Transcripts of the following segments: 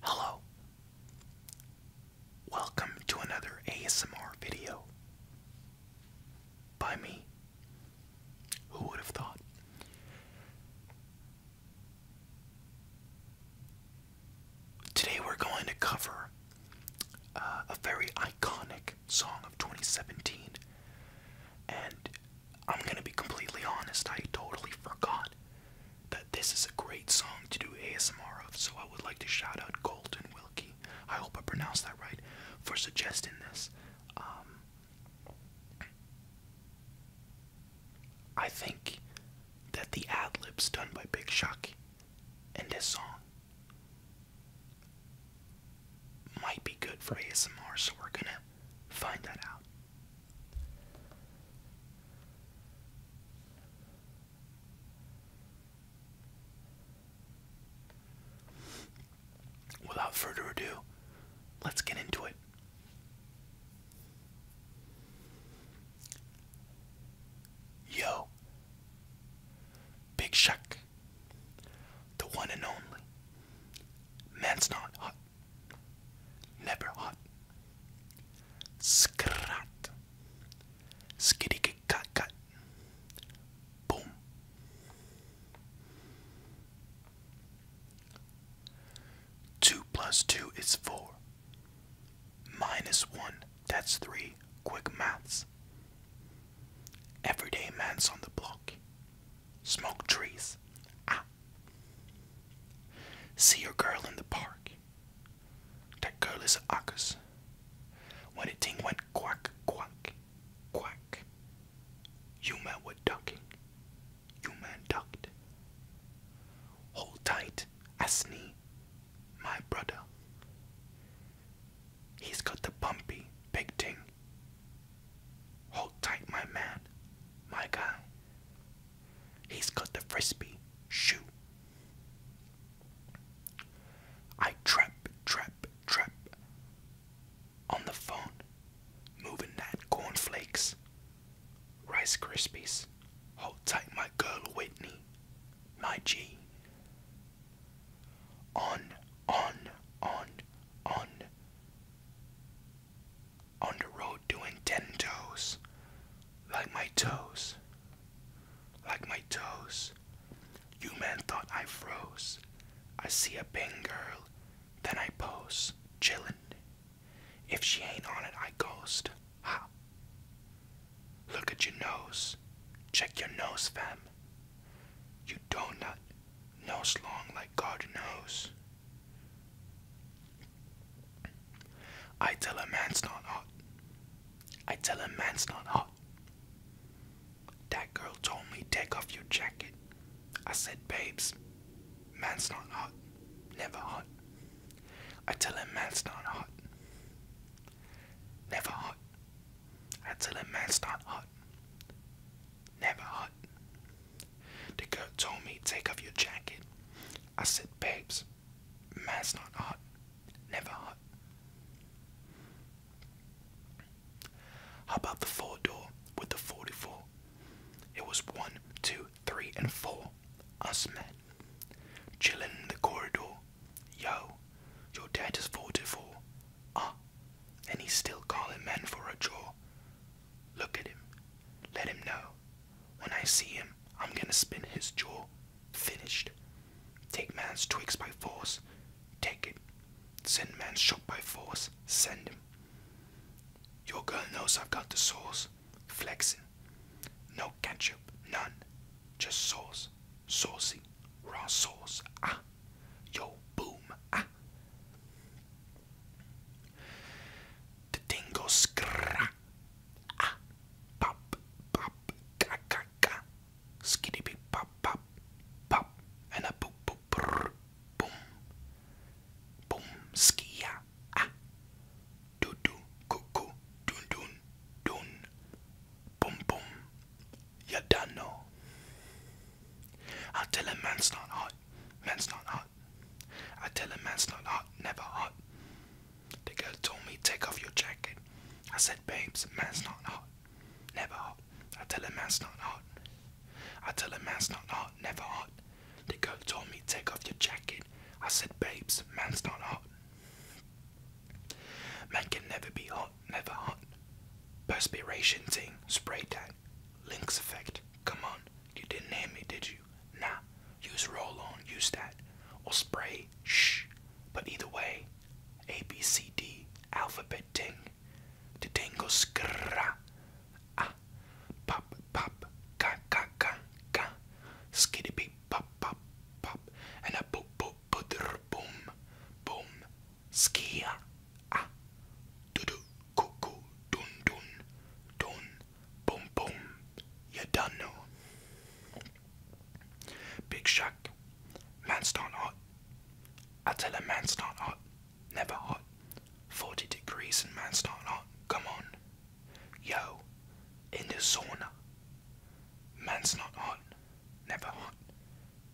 Hello. Welcome to another ASMR video by me. Who would have thought? Today we're going to cover uh, a very iconic song of 2017 and I'm gonna be completely honest, I totally forgot that this is a great song to do ASMR of, so I would like to shout out Colton Wilkie, I hope I pronounced that right, for suggesting this. Um, I think that the ad libs done by Big Shock in this song might be good for ASMR, so we're gonna find that out. Without further ado, let's get into it. Yo, Big Shack, the one and only, man's not hot. Never hot. Skrat. Skiddy cut cut. Boom. Two plus two is four. Minus one, that's three. Quick maths. Everyday man's on the block. Smoke trees. Ah. See your girl in the park. That girl is a Akus. When the thing went quack, quack, quack, you man were ducking. You man ducked. Hold tight, Asni, my brother. He's got the bumpy, big thing Hold tight, my man, my guy. He's got the frisbee. Shoot. I trap, trap, trap. On the phone, moving that cornflakes. Rice Krispies. Hold tight, my girl Whitney. My G on, on, on, on, on the road doing ten toes, like my toes, like my toes. You man thought I froze. I see a bang girl, then I pose, chillin'. If she ain't on it, I ghost. Ha! Look at your nose. Check your nose, fam. You do not know long like God knows. I tell a man's not hot. I tell a man's not hot. That girl told me take off your jacket. I said, babes, man's not hot. Never hot. I tell a man's not hot. Never hot. Until the man start hot. Never hot. The girl told me, take off your jacket. I said, babes, man's not hot. Never hot. How about the four door with the 44? It was one, two, three, and four. Us men. Chillin' in the corridor. Yo, your dad is 44. Ah, and he's still calling men for a draw. Look at him. Let him know. When I see him, I'm gonna spin his jaw. Finished. Take man's twigs by force. Take it. Send man's shot by force. Send him. Your girl knows I've got the sauce. Flexin'. No ketchup. None. Just sauce. Saucy. Raw sauce. Ah. Yo, boom. Ah. The thing goes scra. Ah. Pop, pop, ka, ka, ka. Skitty beep, pop, pop, pop. And a boop, boop, brr. Boom. Boom, skia. Ah. Dudu, cuckoo, dun dun, dun, boom boom, you done know. I tell a man's not hot, man's not hot. I tell a man's not hot, never hot. The girl told me take off your jacket. I said, babes, man's not hot, never hot. I tell a man's not hot. I tell a man's not hot, never hot. The girl told me take off your jacket. I said, babes, man's not hot. Man can never be hot, never hot. Perspiration thing, spray tan. Lynx effect, come on. You didn't hear me, did you? Nah, use roll on, use that. Or spray, shh. But either way, A, B, C, D, alphabet ting. The ting goes Ah, pop, pop, ka, ka, ka, ka skitty beep pop pop pop and a boop boop butter boom boom skia ah doo doo cuckoo dun dun dun boom boom you done know Big Shack Man's not hot I tell a man's not hot never hot forty degrees and man's not hot come on Yo, in the sauna. Man's not hot, never hot.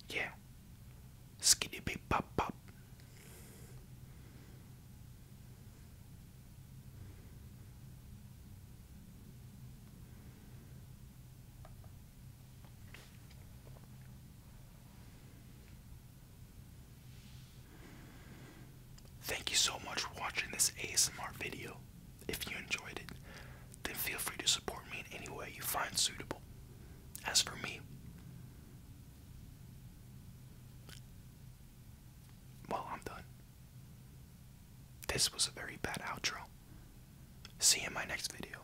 Yeah. Skiddy beep pop pop. Thank you so much for watching this ASMR video. If you enjoyed it, then feel free to support me in any way you find suitable. As for me, well, I'm done. This was a very bad outro. See you in my next video.